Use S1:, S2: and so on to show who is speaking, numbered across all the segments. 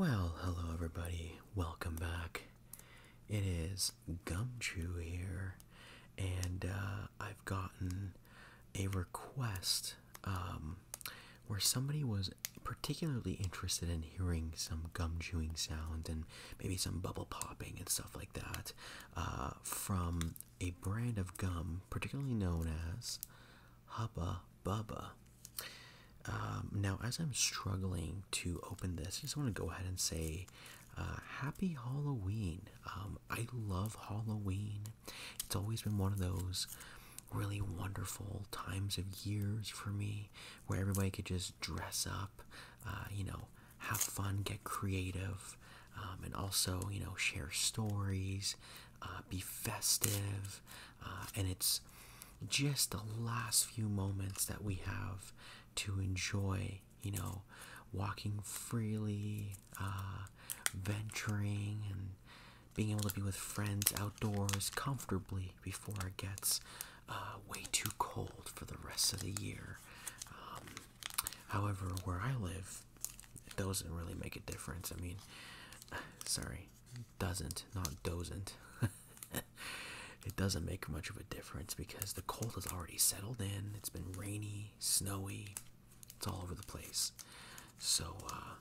S1: Well, hello everybody. Welcome back. It is gum Gumchew here, and uh, I've gotten a request um, where somebody was particularly interested in hearing some gum chewing sounds and maybe some bubble popping and stuff like that uh, from a brand of gum particularly known as Hubba Bubba. Um, now, as I'm struggling to open this, I just want to go ahead and say uh, Happy Halloween. Um, I love Halloween. It's always been one of those really wonderful times of years for me where everybody could just dress up, uh, you know, have fun, get creative, um, and also, you know, share stories, uh, be festive, uh, and it's just the last few moments that we have to enjoy, you know, walking freely, uh, venturing, and being able to be with friends outdoors comfortably before it gets way too cold for the rest of the year. Um, however, where I live, it doesn't really make a difference. I mean, sorry, doesn't, not doesn't. it doesn't make much of a difference because the cold has already settled in. It's been rainy, snowy, it's all over the place. So, uh,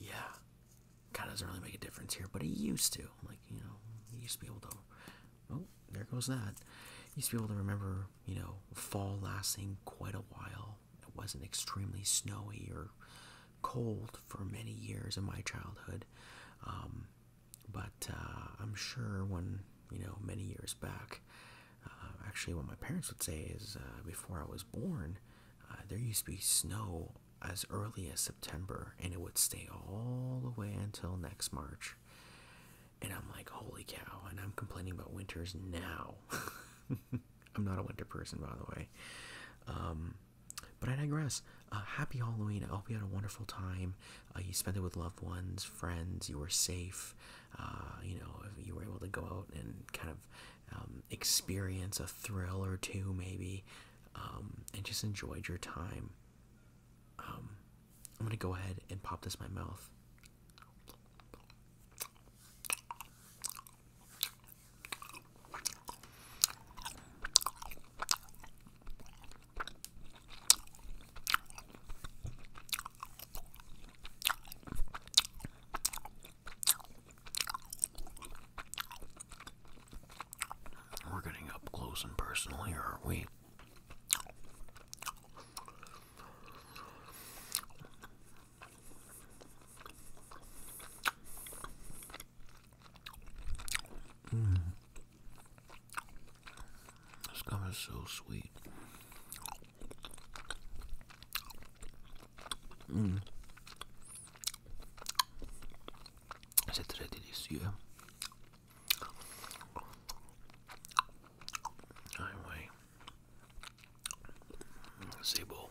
S1: yeah, kind of doesn't really make a difference here, but it used to. Like, you know, you used to be able to. Oh, there goes that. used to be able to remember, you know, fall lasting quite a while it wasn't extremely snowy or cold for many years in my childhood. Um, but uh, I'm sure when, you know, many years back, uh, actually, what my parents would say is uh, before I was born, there used to be snow as early as September and it would stay all the way until next March. And I'm like, holy cow. And I'm complaining about winters now. I'm not a winter person, by the way. Um, but I digress. Uh, happy Halloween. I hope you had a wonderful time. Uh, you spent it with loved ones, friends. You were safe. Uh, you know, you were able to go out and kind of um, experience a thrill or two, maybe, um, and just enjoyed your time. Um, I'm gonna go ahead and pop this in my mouth. We're getting up close and personal here, aren't we? Mm. This gum is so sweet. Mm. C'est très délicieux. Anyway, c'est beau.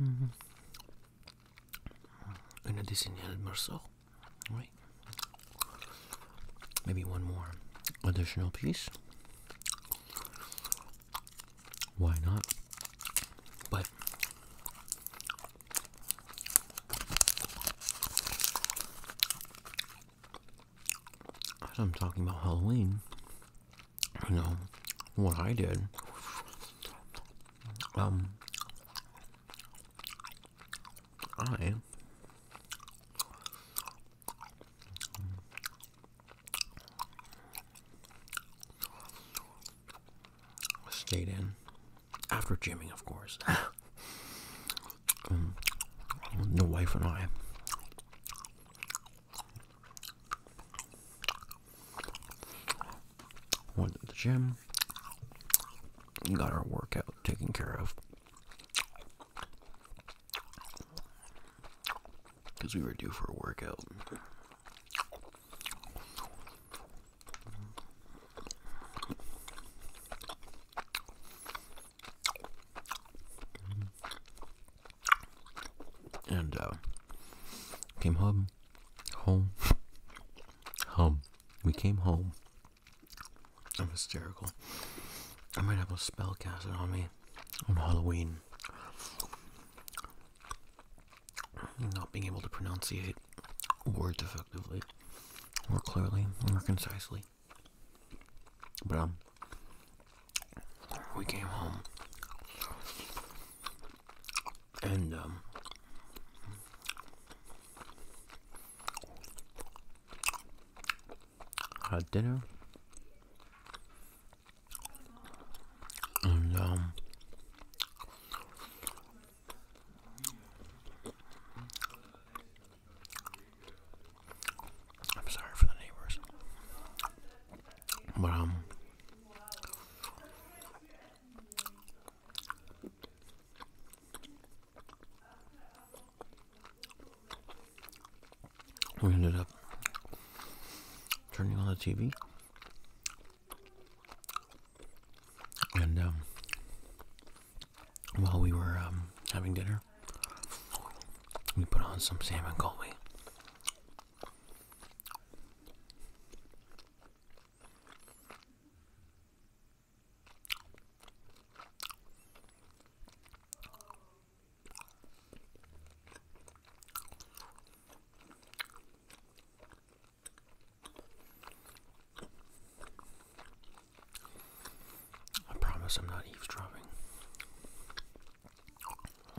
S1: Mm additional morsel, Maybe one more additional piece. Why not? But I'm talking about Halloween, you know what I did. Um, I stayed in after gymming, of course. um, the wife and I Went to the gym. Got our workout taken care of. Because we were due for a workout and uh, came home, home, home. We came home. I'm hysterical. I might have a spell casted on me on Halloween. Not being able to pronounce pronunciate words effectively, or clearly, or concisely. But um, we came home and um, had dinner and um I'm sorry for the neighbors. But, um, we ended up turning on the TV. And, um, while we were um, having dinner, we put on some Sam and Colby. I promise I'm not eavesdropping.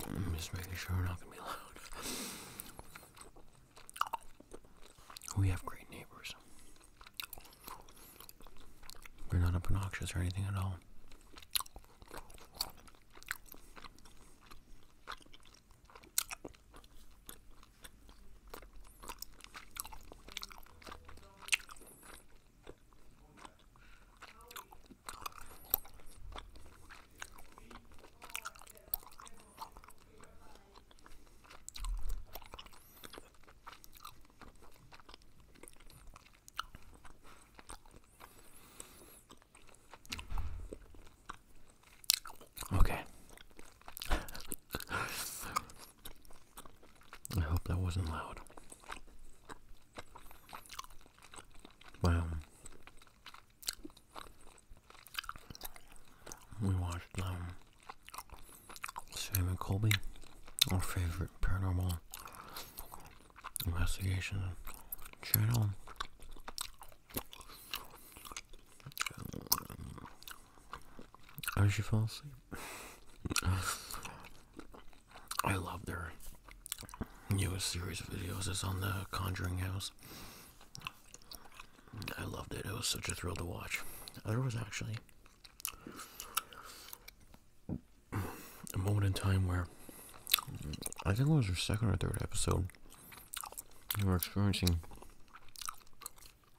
S1: I'm just making sure we're not gonna be loud. We have great neighbors. We're not obnoxious or anything at all. Okay. I hope that wasn't loud. Well, we watched um, Sam and Colby, our favorite paranormal investigation channel. As you fall asleep, I love their newest series of videos. It's on the Conjuring House. I loved it. It was such a thrill to watch. There was actually a moment in time where I think it was her second or third episode. We were experiencing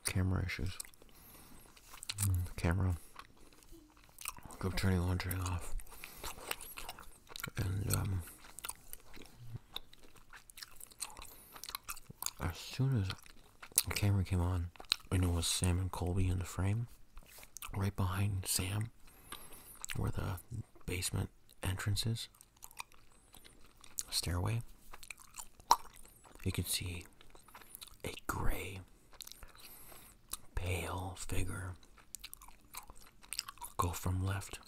S1: camera issues. Mm, camera of turning laundry off and um, as soon as the camera came on I know it was Sam and Colby in the frame right behind Sam where the basement entrance is stairway you can see a gray pale figure go from left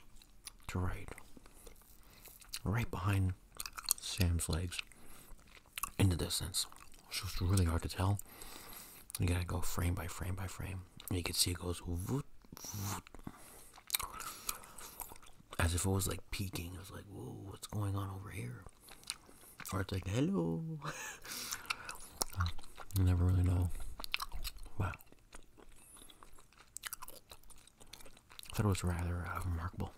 S1: to right, right behind Sam's legs in the distance. It's just really hard to tell. You gotta go frame by frame by frame. And you can see it goes voot, voot. as if it was like peeking. It was like, whoa, what's going on over here? Or it's like, hello. Uh, you never really know. Wow. I thought it was rather uh, remarkable.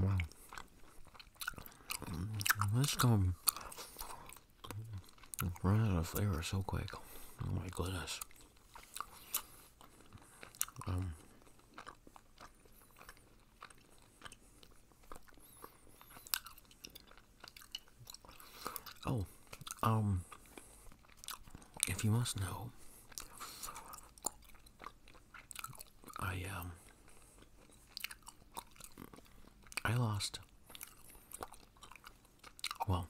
S1: Wow. Let's go run out of flavor so quick. Oh my goodness. Um, Oh, um, if you must know, I, um, I lost, well,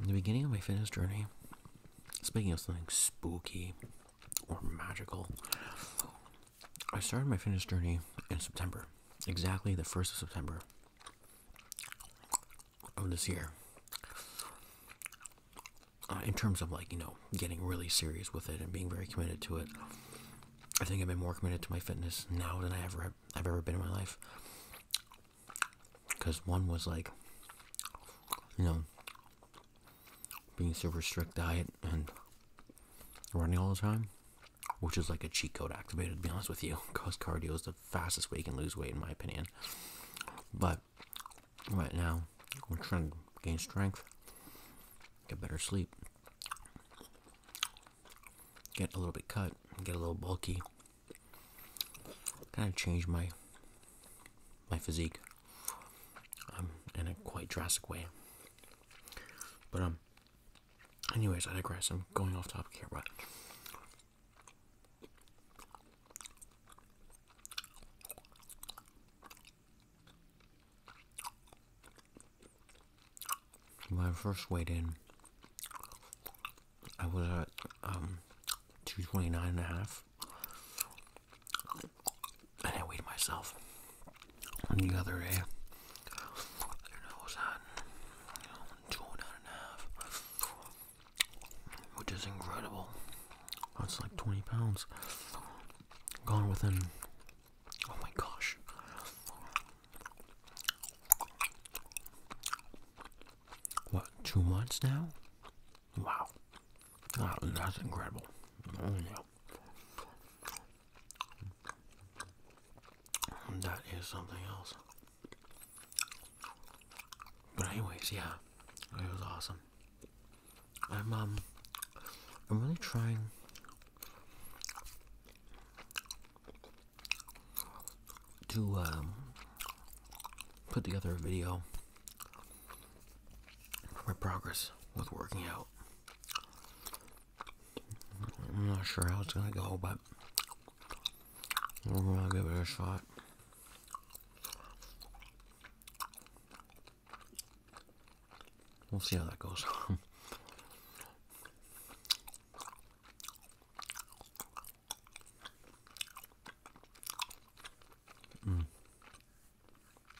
S1: in the beginning of my fitness journey, speaking of something spooky or magical. I started my fitness journey in September, exactly the 1st of September of this year. Uh, in terms of like, you know, getting really serious with it and being very committed to it, I think I've been more committed to my fitness now than I ever have I've ever been in my life. Because one was like, you know, being super strict diet and running all the time, which is like a cheat code activated, to be honest with you, because cardio is the fastest way you can lose weight, in my opinion. But right now, I'm trying to gain strength, get better sleep, get a little bit cut, get a little bulky, kind of change my my physique um, in a quite drastic way. But um, anyways, I digress. I'm going off topic here, but when I first weighed in, I was at um, 229 and a half. And I weighed myself the other day. And I was at, two and a half, which is incredible. That's like 20 pounds gone within. Oh my gosh. What, two months now? Wow. that's incredible. Oh, yeah. That is something else. But anyways, yeah, it was awesome. I'm um, I'm really trying. To um, put together a video my progress with working out. I'm not sure how it's gonna go, but I'm gonna give it a shot. We'll see how that goes. Hmm.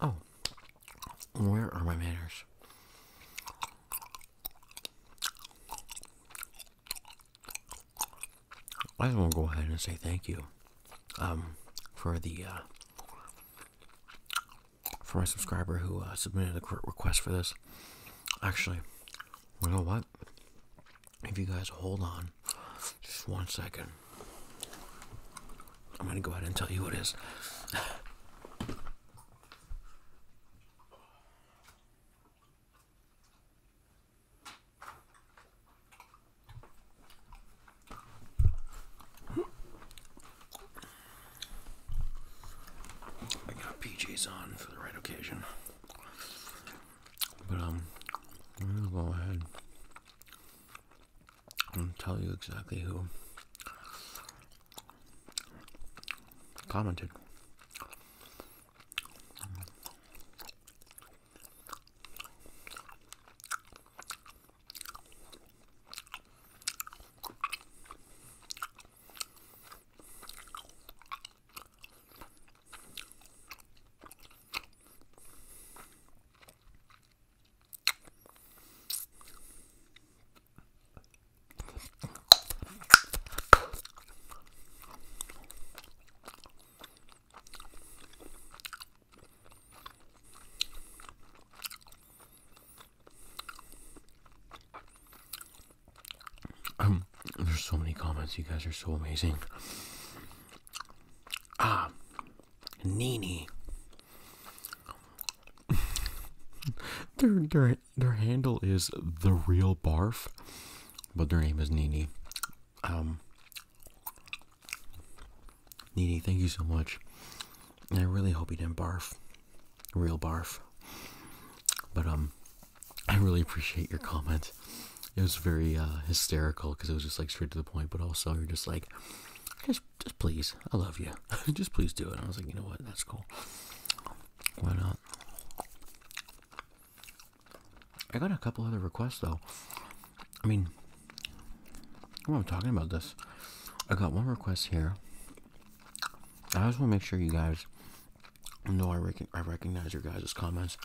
S1: Oh, where are my manners? I just want to go ahead and say thank you um, for the uh, for my subscriber who uh, submitted a request for this. Actually, you know what? If you guys hold on just one second, I'm going to go ahead and tell you what it is. I got PJs on for the right occasion. But um, I'm gonna go ahead and tell you exactly who commented. Um, there's so many comments. You guys are so amazing. Ah, Nini. their their their handle is the real barf, but their name is Nini. Um, Nini, thank you so much. I really hope you didn't barf, real barf. But um, I really appreciate your comment it was very uh, hysterical because it was just like straight to the point, but also you're just like, just, just please, I love you, just please do it. I was like, you know what, that's cool. Why not? I got a couple other requests though. I mean, I'm talking about this. I got one request here. I just want to make sure you guys know I, I recognize your guys' comments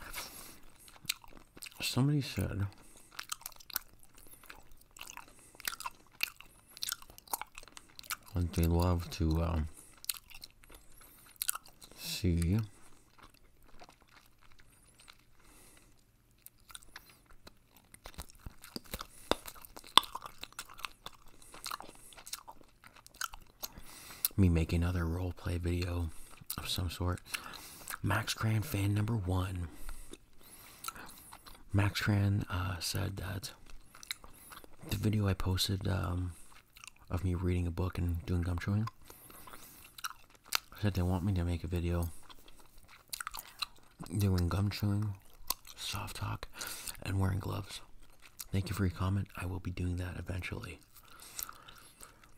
S1: somebody said that they love to um, see me make another role play video of some sort. Max Cran fan number one. Max Cran uh, said that the video I posted um, of me reading a book and doing gum chewing said they want me to make a video doing gum chewing, soft talk, and wearing gloves. Thank you for your comment. I will be doing that eventually.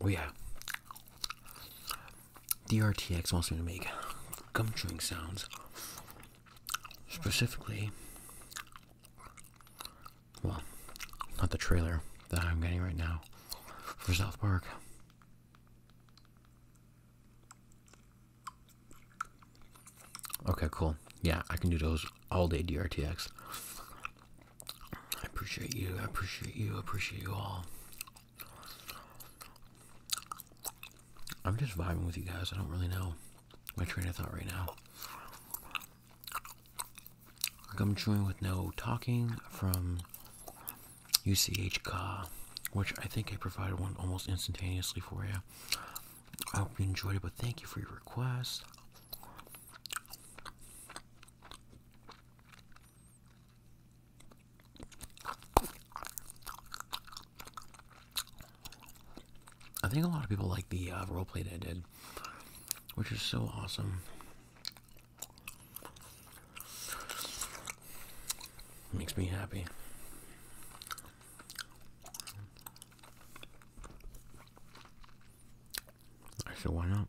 S1: Oh yeah. DRTX wants me to make gum chewing sounds. Specifically, well, not the trailer that I'm getting right now for South Park. Okay, cool. Yeah, I can do those all day, DRTX. I appreciate you. I appreciate you. I appreciate you all. I'm just vibing with you guys. I don't really know my train of thought right now. Like I'm chewing with no talking from UCH Ka, which I think I provided one almost instantaneously for you. I hope you enjoyed it, but thank you for your request. I think a lot of people like the uh, roleplay that I did, which is so awesome. Makes me happy. I said, why not?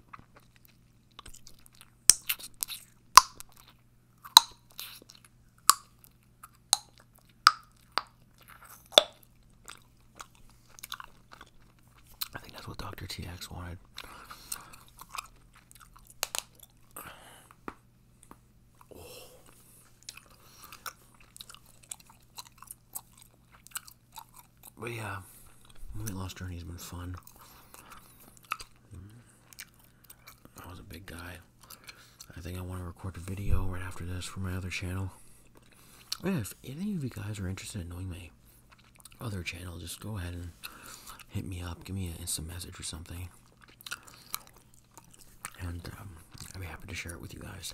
S1: I think that's what Dr. TX wanted. But yeah, weight loss journey has been fun. I was a big guy. I think I want to record a video right after this for my other channel. Oh if any of you guys are interested in knowing my other channel, just go ahead and hit me up. Give me an instant message or something. And um, I'd be happy to share it with you guys.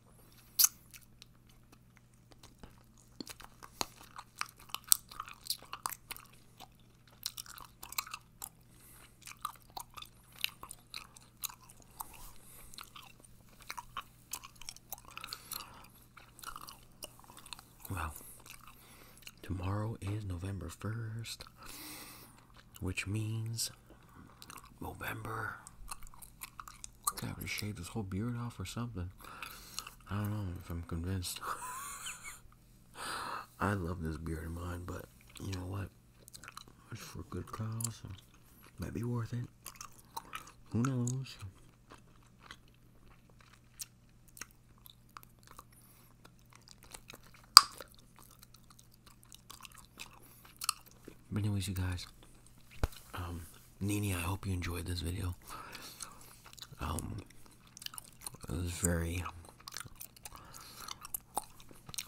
S1: Well, tomorrow is November 1st, which means November. I have to shave this whole beard off or something. I don't know if I'm convinced. I love this beard of mine, but you know what? It's for a good cause. Might be worth it. Who knows? anyways, you guys, um, Nini, I hope you enjoyed this video. Um, it was very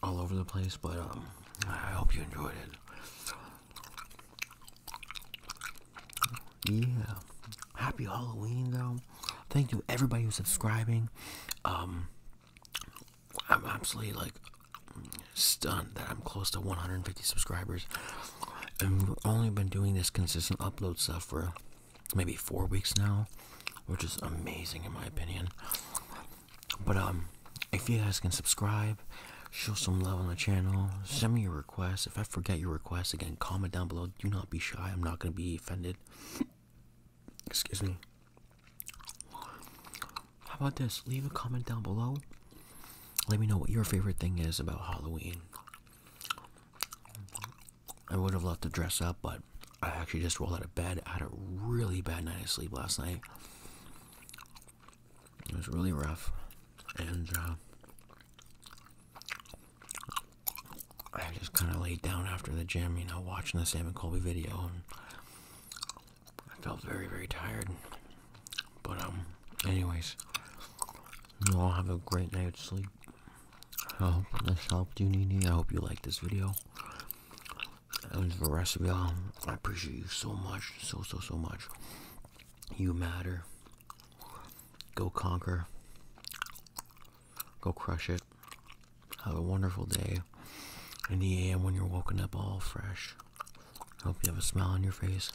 S1: all over the place, but um, I hope you enjoyed it. Yeah, happy Halloween though. Thank you everybody who's subscribing. I'm absolutely like stunned that I'm close to 150 subscribers, and we've only been doing this consistent upload stuff for maybe four weeks now, which is amazing in my opinion. But um, if you guys can subscribe, show some love on the channel, send me your requests. If I forget your requests, again, comment down below. Do not be shy. I'm not gonna be offended. Excuse me. How about this? Leave a comment down below. Let me know what your favorite thing is about Halloween. I would have loved to dress up, but I actually just rolled out of bed. I had a really bad night of sleep last night. It was really rough. And uh, I just kind of laid down after the gym, you know, watching the Sam and Colby video. I felt very, very tired. But, um, anyways, you all have a great night's sleep. I hope this helped you, Nini. I hope you liked this video. And for the rest of y'all, I appreciate you so much. So, so, so much. You matter. Go conquer. Go crush it. Have a wonderful day. In the AM when you're woken up all fresh. I Hope you have a smile on your face.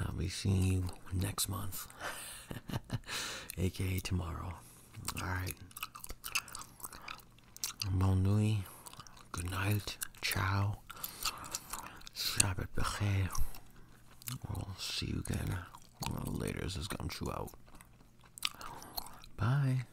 S1: I'll be seeing you next month, aka tomorrow. Alright. Bon nuit. Good night. Ciao. Shabbat b'chir. We'll see you again later. This is Gumshoe out. Bye.